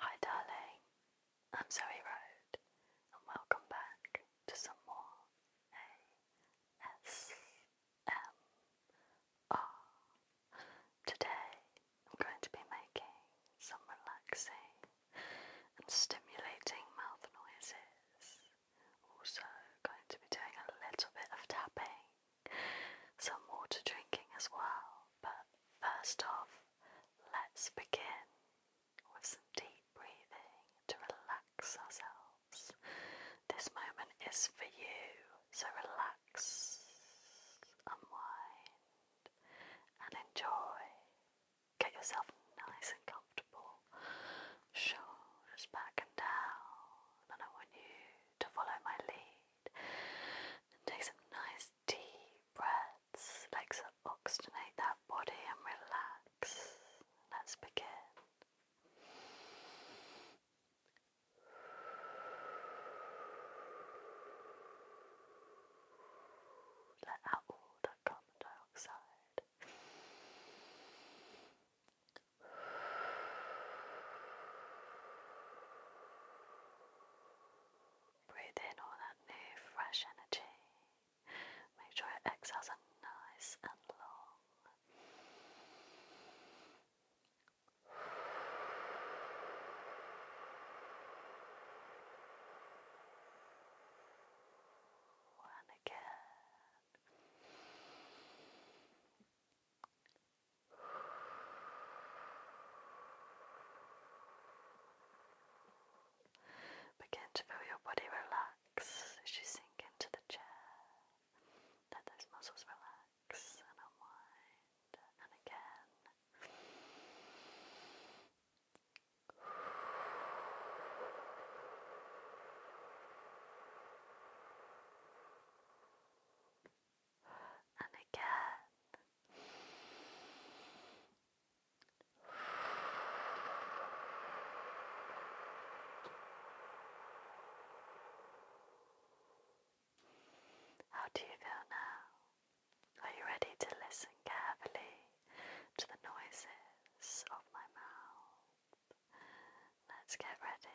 Hi, darling. I'm Zoe Road, and welcome back to some more ASMR. Today, I'm going to be making some relaxing and stimulating mouth noises. Also, going to be doing a little bit of tapping, some water drinking as well but first off, let's begin with some deep breathing to relax ourselves. This moment is for you, so relax, unwind, and enjoy. Get yourself nice and comfortable, shoulders back and down, and I want you to follow my lead and take some nice deep breaths, Let's oxygenate that body and relax. Let's begin. Let out all that carbon dioxide. Breathe in all that new, fresh energy. Make sure your exhales are nice and long. And again. Begin to feel your body relax as you sink into the chair. Let those muscles relax and unwind, and again and again. How do you feel now? Are you ready to listen carefully to the noises of my mouth? Let's get ready.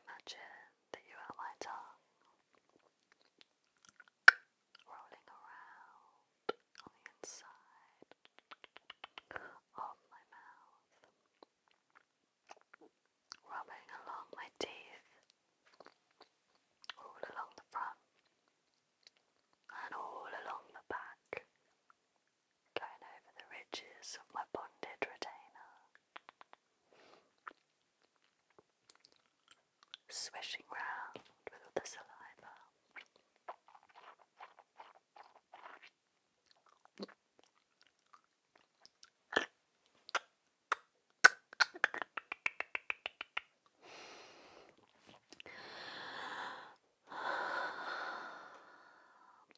Imagine that you are my tongue rolling around on the inside of my mouth, rubbing along my teeth, all along the front and all along the back going over the ridges of my bonded retainer, swishing round with all the saliva.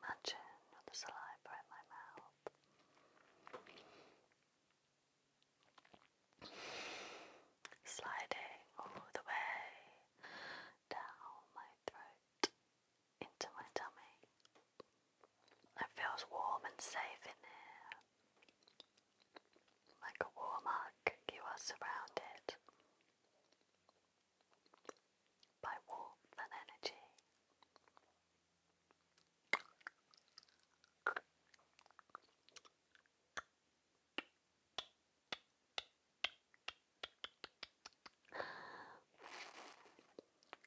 Imagine the saliva in my mouth. Sliding all the way down my throat into my tummy. It feels warm and safe in here. Like a warm hug, you are surrounded by warmth and energy.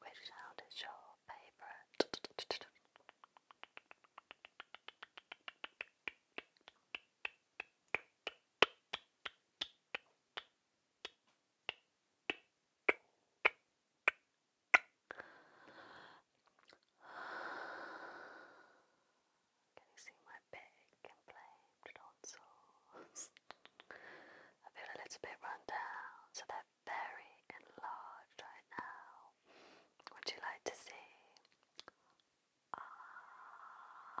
Which sound is your favorite? Can you see my big inflamed tonsils? I feel a little bit run down, so they're very enlarged right now. Would you like to see? Ah.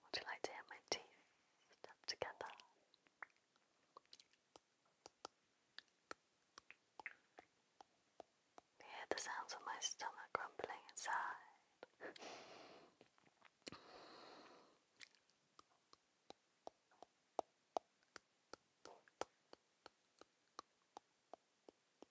Would you like to hear my teeth snap together? hear the sounds of my stomach rumbling inside.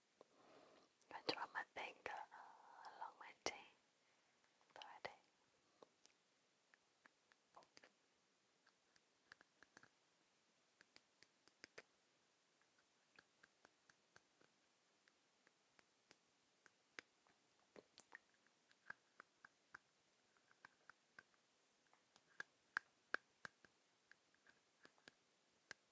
I'm going to run my finger uh, along my teeth. Already.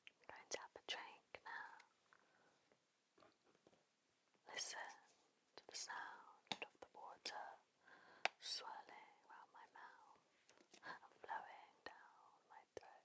Going to have a drink now. Listen to the sound of the water swirling round my mouth flowing down my throat.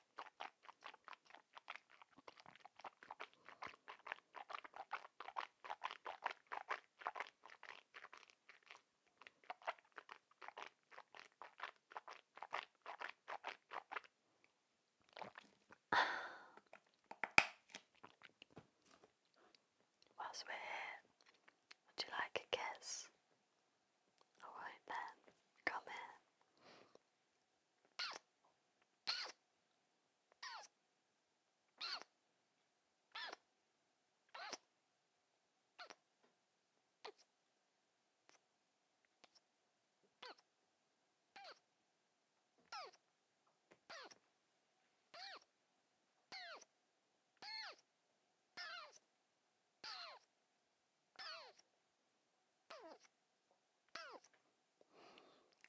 Whilst we're here, would you like a kiss? Alright then, come in.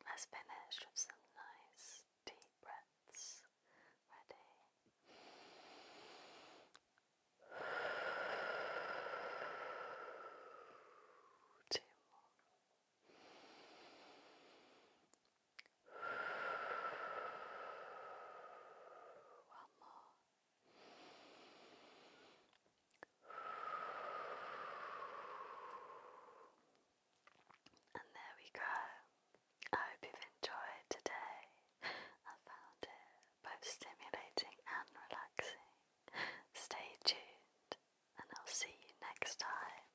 Let's finish with some nice deep breaths. Ready? Two more. One more. And there we go. I hope you've enjoyed today. I found it both stimulating and relaxing. Stay tuned, and I'll see you next time.